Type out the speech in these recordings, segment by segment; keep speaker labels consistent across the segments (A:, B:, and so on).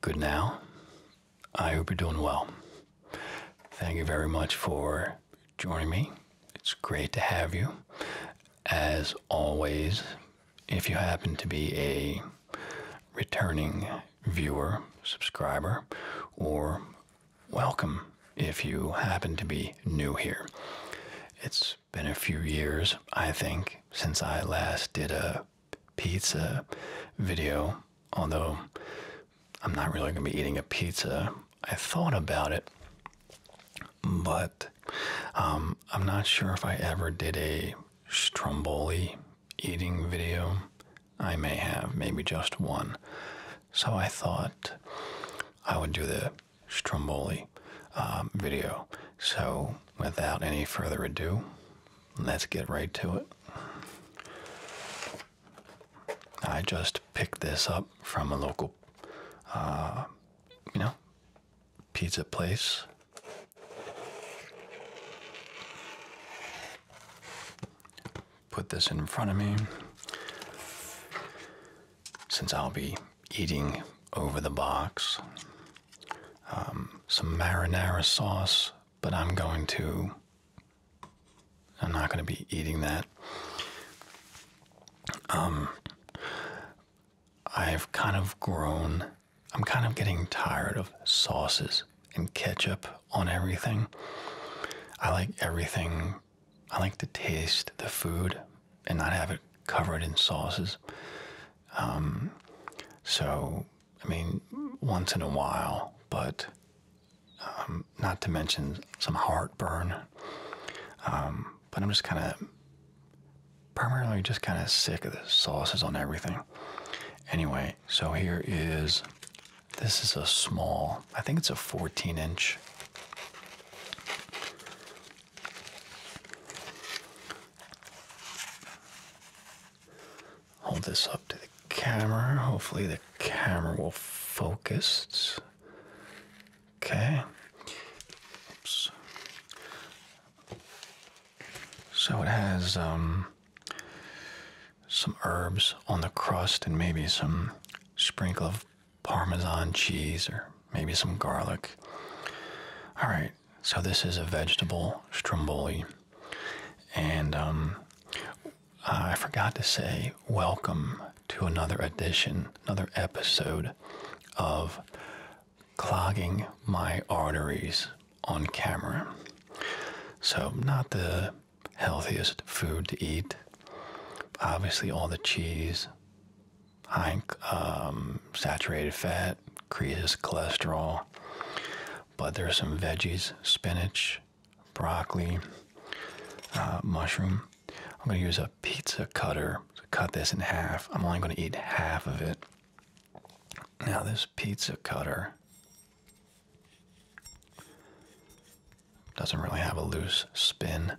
A: Good now. I hope you're doing well. Thank you very much for joining me. It's great to have you. As always, if you happen to be a returning viewer, subscriber, or welcome if you happen to be new here. It's been a few years, I think, since I last did a pizza video, although I'm not really going to be eating a pizza. I thought about it, but um, I'm not sure if I ever did a Stromboli eating video. I may have, maybe just one. So I thought I would do the Stromboli um, video. So without any further ado, let's get right to it. I just picked this up from a local, uh, you know, pizza place. Put this in front of me since I'll be eating over the box. Um, some marinara sauce, but I'm going to. I'm not going to be eating that. Um, I've kind of grown. I'm kind of getting tired of sauces and ketchup on everything. I like everything. I like to taste the food and not have it covered in sauces. Um, so, I mean, once in a while, but um, not to mention some heartburn. Um, but I'm just kind of primarily just kind of sick of the sauces on everything. Anyway, so here is this is a small, I think it's a 14 inch. Hold this up to the camera. Hopefully, the camera will focus. Okay. Oops. So it has um, some herbs on the crust and maybe some sprinkle of Parmesan cheese or maybe some garlic. All right, so this is a vegetable stromboli, and um, I forgot to say welcome to another edition, another episode of clogging my arteries on camera. So not the healthiest food to eat. Obviously, all the cheese, high um, saturated fat, increases cholesterol. But there are some veggies, spinach, broccoli, uh, mushroom. I'm going to use a pizza cutter to cut this in half. I'm only going to eat half of it. Now, this pizza cutter doesn't really have a loose spin.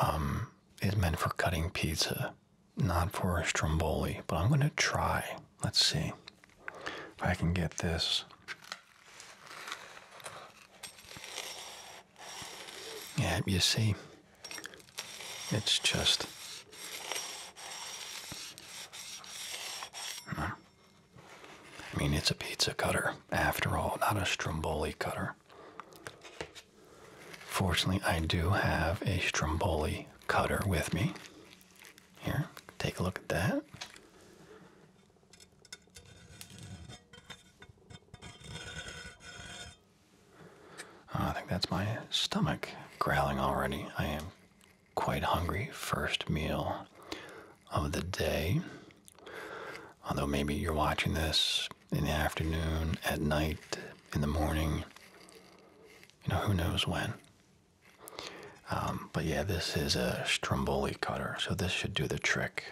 A: Um, it's meant for cutting pizza not for a stromboli, but I'm going to try. Let's see if I can get this. Yeah, you see, it's just. Hmm. I mean, it's a pizza cutter, after all, not a stromboli cutter. Fortunately, I do have a Stromboli cutter with me. Here, take a look at that. Oh, I think that's my stomach growling already. I am quite hungry. First meal of the day. Although maybe you're watching this in the afternoon, at night, in the morning, you know, who knows when. Um, but yeah, this is a Stromboli cutter, so this should do the trick.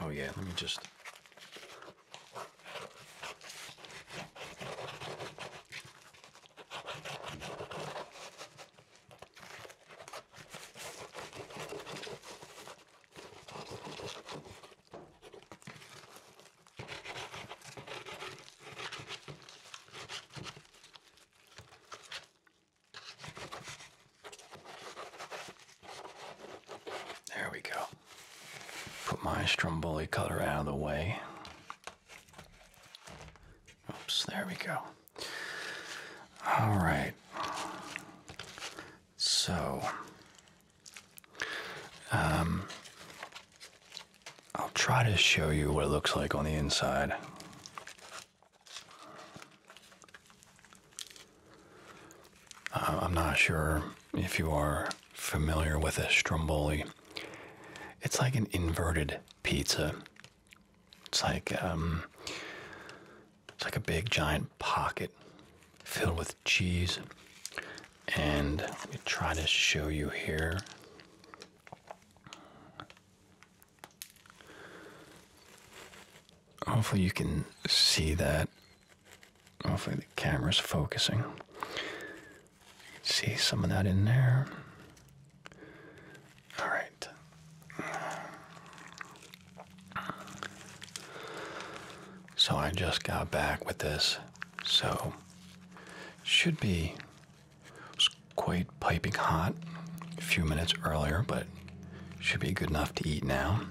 A: Oh yeah, let me just... There we go. Put my Stromboli color out of the way. Oops, there we go. All right. So, um, I'll try to show you what it looks like on the inside. Uh, I'm not sure if you are familiar with a stromboli, it's like an inverted pizza. It's like um, it's like a big giant pocket filled with cheese. And let me try to show you here. Hopefully you can see that. Hopefully the camera's focusing see some of that in there. All right. So I just got back with this, so should be quite piping hot a few minutes earlier, but should be good enough to eat now.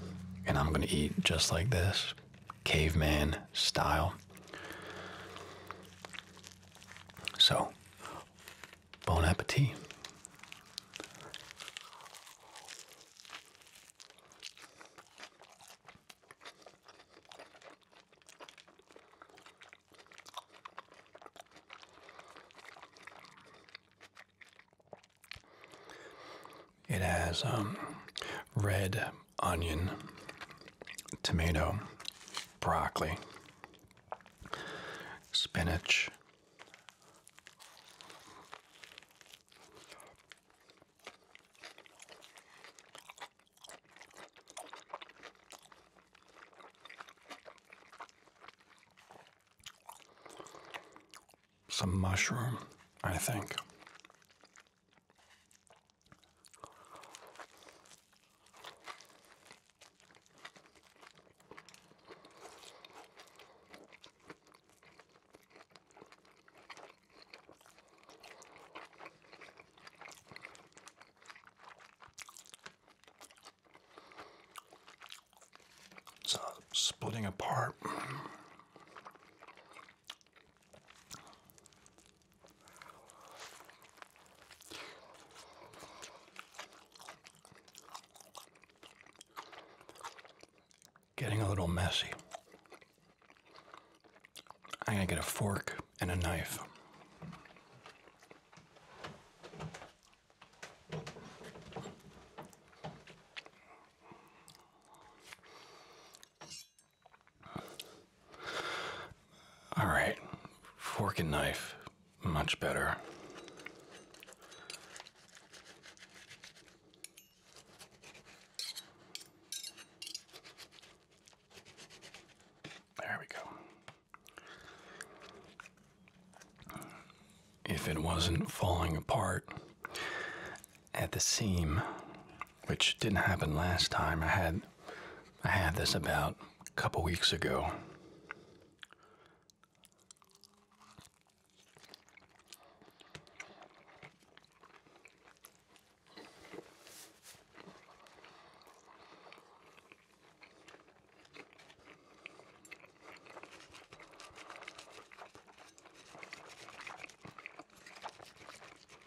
A: And I'm gonna eat just like this caveman style. So, bon appetit. It has um, red onion tomato, broccoli, spinach. Some mushroom, I think. It's not splitting apart. Getting a little messy. I'm going to get a fork and a knife. All right, fork and knife, much better. There we go. If it wasn't falling apart at the seam, which didn't happen last time. I had I had this about a couple weeks ago.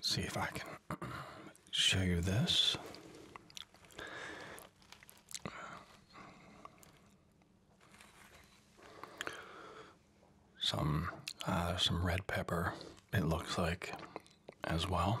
A: see if I can show you this. Some uh, some red pepper. It looks like as well.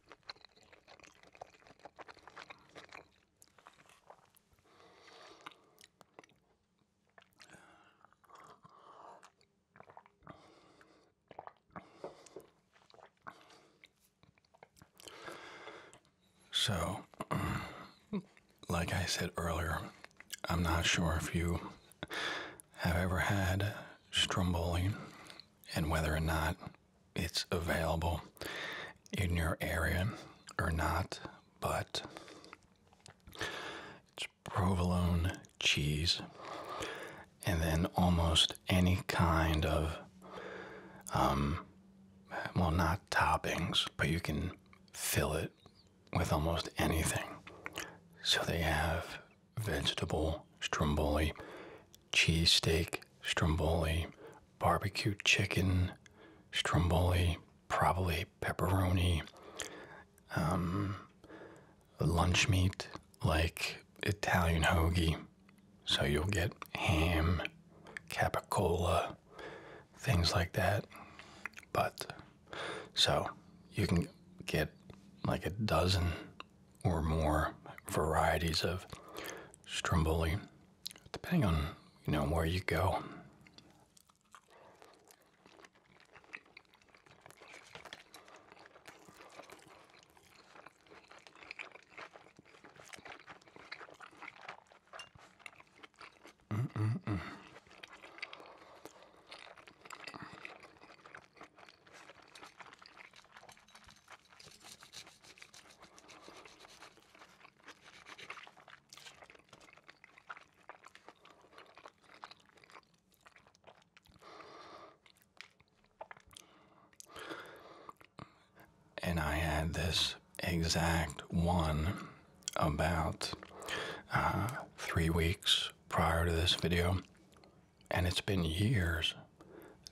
A: So, like I said earlier, I'm not sure if you have ever had stromboli and whether or not it's available in your area or not, but it's provolone cheese and then almost any kind of, um, well, not toppings, but you can fill it with almost anything. So they have vegetable stromboli, cheesesteak, stromboli, barbecue chicken, stromboli, probably pepperoni, um, lunch meat like Italian hoagie. So you'll get ham, capicola, things like that. But so you can get like a dozen or more varieties of stromboli, depending on you know where you go. And I had this exact one about uh, three weeks prior to this video and it's been years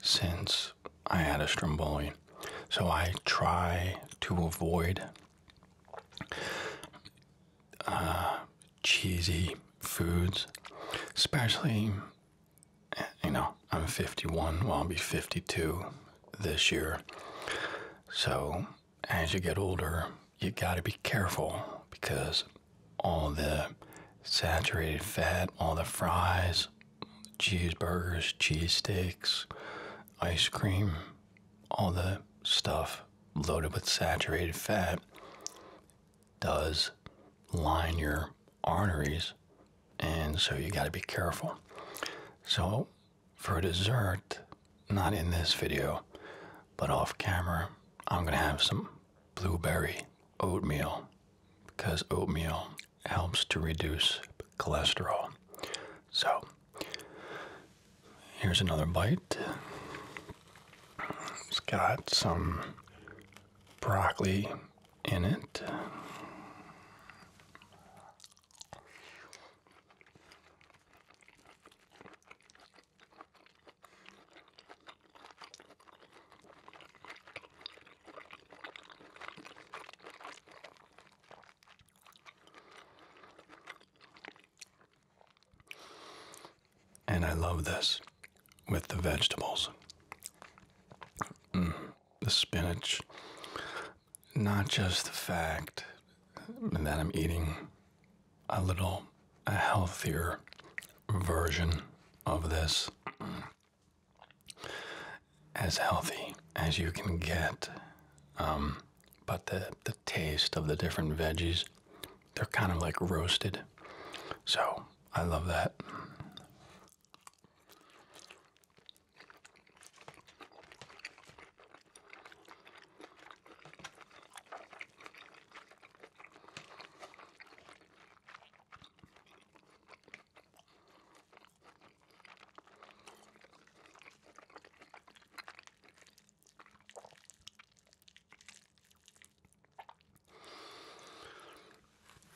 A: since I had a stromboli. So I try to avoid uh, cheesy foods, especially, you know, I'm 51, well, I'll be 52 this year. So as you get older, you got to be careful because all the saturated fat, all the fries, cheeseburgers, cheese steaks, ice cream, all the stuff loaded with saturated fat does line your arteries, and so you got to be careful. So, for dessert, not in this video, but off camera, I'm gonna have some blueberry oatmeal because oatmeal helps to reduce cholesterol. So, here's another bite. It's got some broccoli in it. And I love this with the vegetables. Mm, the spinach, not just the fact that I'm eating a little a healthier version of this, as healthy as you can get. Um, but the, the taste of the different veggies, they're kind of like roasted. So I love that.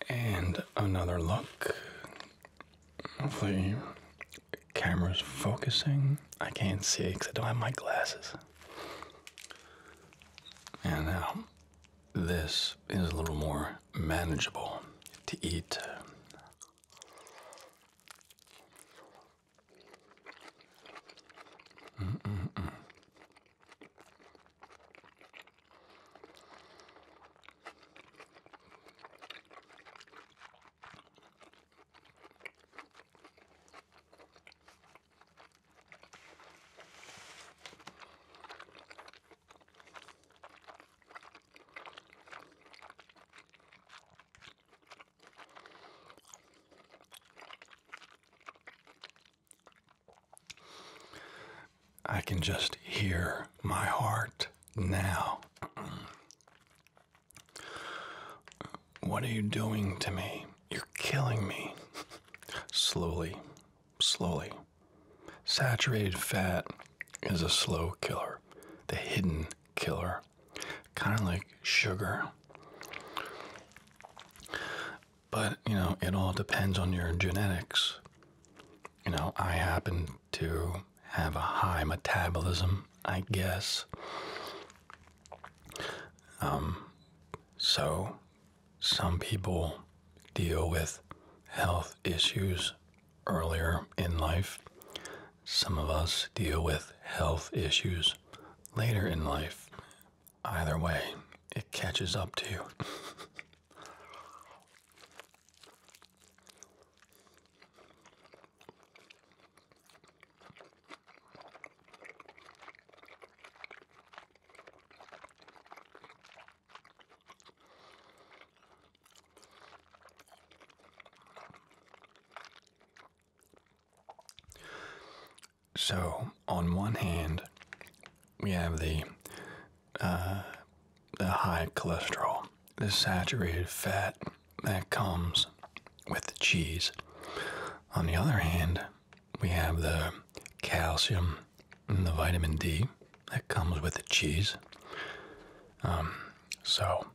A: And another look. Hopefully, camera's focusing. I can't see because I don't have my glasses. And now this is a little more manageable to eat. I can just hear my heart now. What are you doing to me? You're killing me. slowly, slowly. Saturated fat is a slow killer, the hidden killer, kind of like sugar. But, you know, it all depends on your genetics. You know, I happen to have a high metabolism, I guess. Um, so some people deal with health issues earlier in life. Some of us deal with health issues later in life. Either way, it catches up to you. So, on one hand, we have the uh, the high cholesterol, the saturated fat that comes with the cheese. On the other hand, we have the calcium and the vitamin D that comes with the cheese. Um, so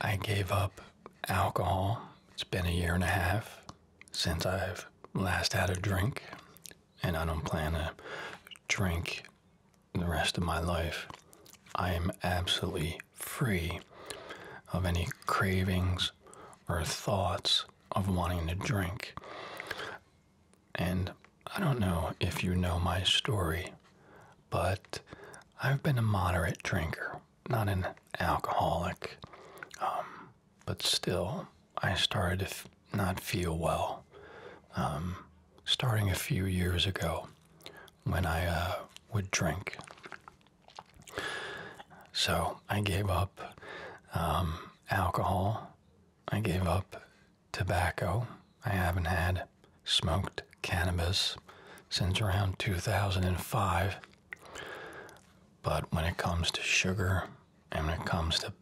A: I gave up alcohol. It's been a year and a half since I've last had a drink, and I don't plan to drink the rest of my life. I am absolutely free of any cravings or thoughts of wanting to drink. And I don't know if you know my story, but I've been a moderate drinker, not an alcoholic. Um, but still, I started to not feel well. Um, starting a few years ago when I uh, would drink. So I gave up um, alcohol. I gave up tobacco. I haven't had smoked cannabis since around 2005. But when it comes to sugar and when it comes to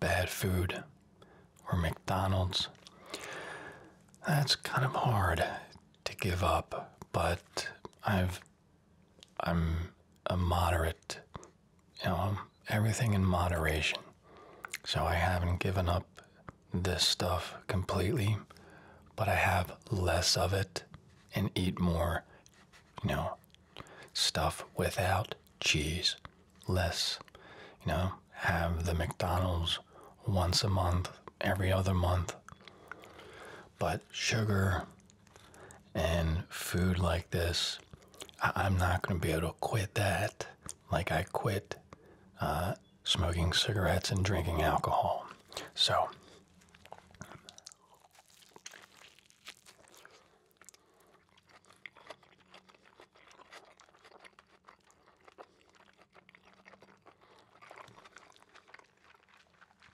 A: bad food or McDonald's, that's kind of hard to give up. But I've I'm a moderate, you know, everything in moderation. So I haven't given up this stuff completely, but I have less of it and eat more, you know, stuff without cheese. Less, you know, have the McDonald's once a month, every other month. But sugar and food like this, I am not going to be able to quit that like I quit uh, smoking cigarettes and drinking alcohol. So,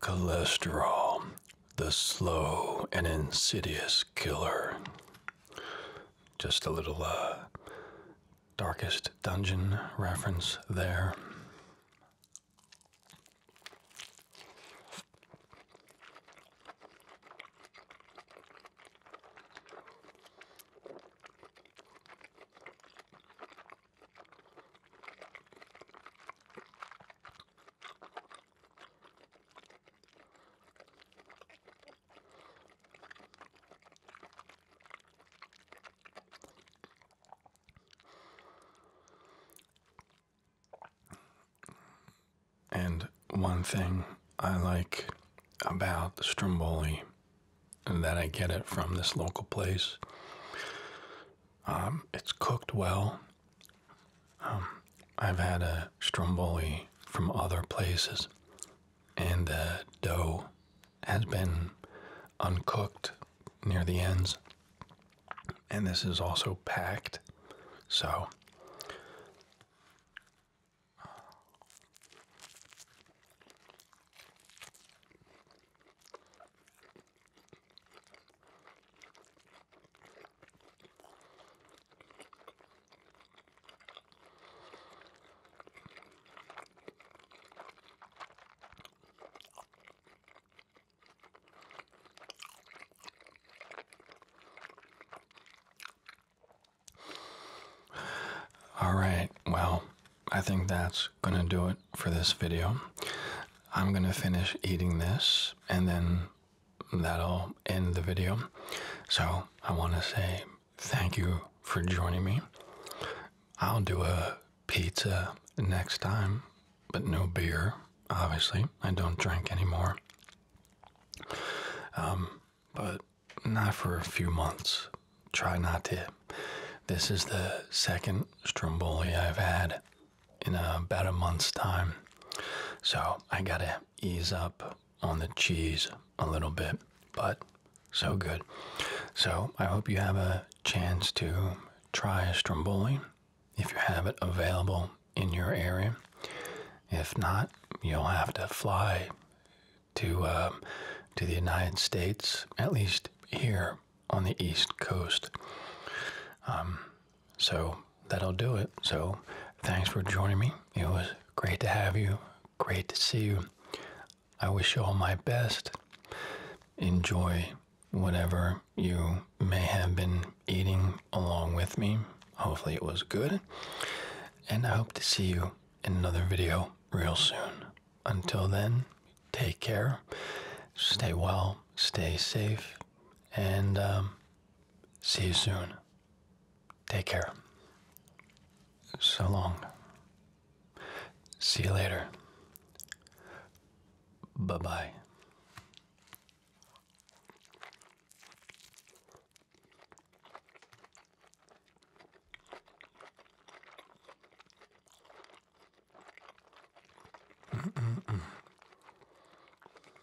A: Cholesterol, the slow and insidious killer. Just a little uh, Darkest Dungeon reference there. And one thing I like about the stromboli, and that I get it from this local place, um, it's cooked well. Um, I've had a stromboli from other places, and the dough has been uncooked near the ends. And this is also packed. So all right, well, I think that's going to do it for this video. I'm going to finish eating this and then that'll end the video. So I want to say thank you for joining me. I'll do a pizza next time, but no beer, obviously. I don't drink anymore. Um, but not for a few months. Try not to. This is the second stromboli I've had in about a month's time. So I gotta ease up on the cheese a little bit, but so good. So I hope you have a chance to try a stromboli if you have it available in your area. If not, you'll have to fly to um, to the United States, at least here on the East Coast. Um, so that'll do it. So thanks for joining me. It was great to have you Great to see you. I wish you all my best. Enjoy whatever you may have been eating along with me. Hopefully, it was good. And I hope to see you in another video real soon. Until then, take care, stay well, stay safe, and um, See you soon. Take care. So long. See you later. Bye bye.